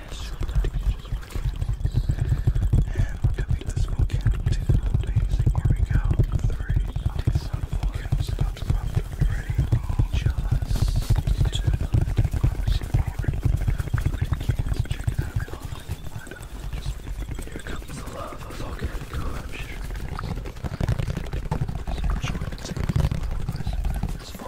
And we're gonna make amazing. Here we go. Three, two, volcano stops popped up. Just Just here comes the lava volcano eruption. Enjoy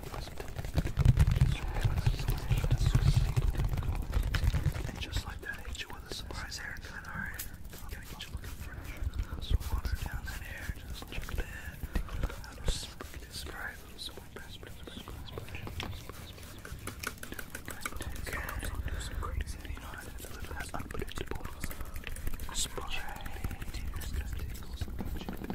And just like that, hit you with a surprise haircut, alright? Gotta get you looking fresh. So water down that hair, just check that. Spray, little spray, spray, spray, Okay. Some crazy, you know, it's a little unpredictable. Spray. Spray.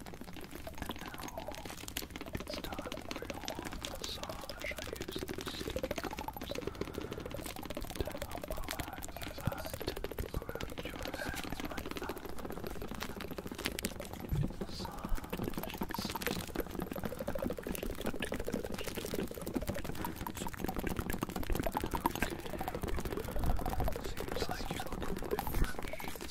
now it's time for your warm massage. I the sticky gloves to help relax as I tend to around your hands like that. Massage, Okay. Seems like you look a little bit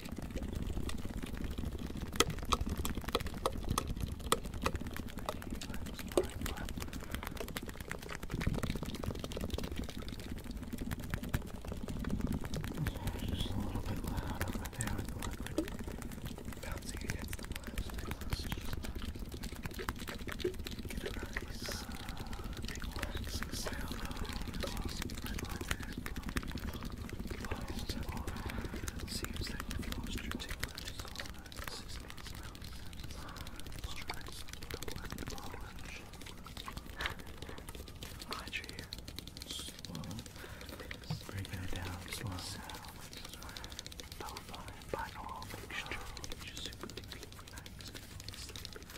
just a little bit loud over there with the liquid bouncing against the plastic. Let's just get a nice uh, big wax sound. Oh, Seems that you've lost your tingling Glad you're here. Slow. Break it down. Slow. By all mixture, super tingling, relaxed, sleepy,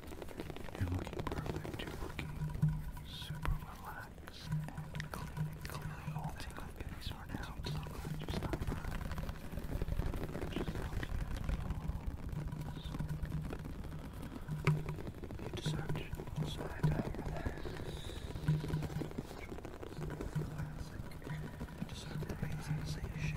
You're looking perfect. You're looking super relaxed and clean, clearly holding a face for now. I'm so glad you stopped by. Just how beautiful. You deserve to know so I die relaxed. Classic. Just amazing sensation.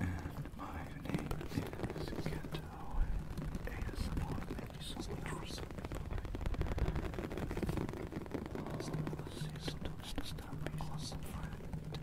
And my name is Kento ASMR. Thank you so much for subscribing. Sometimes this time be awesome, friend.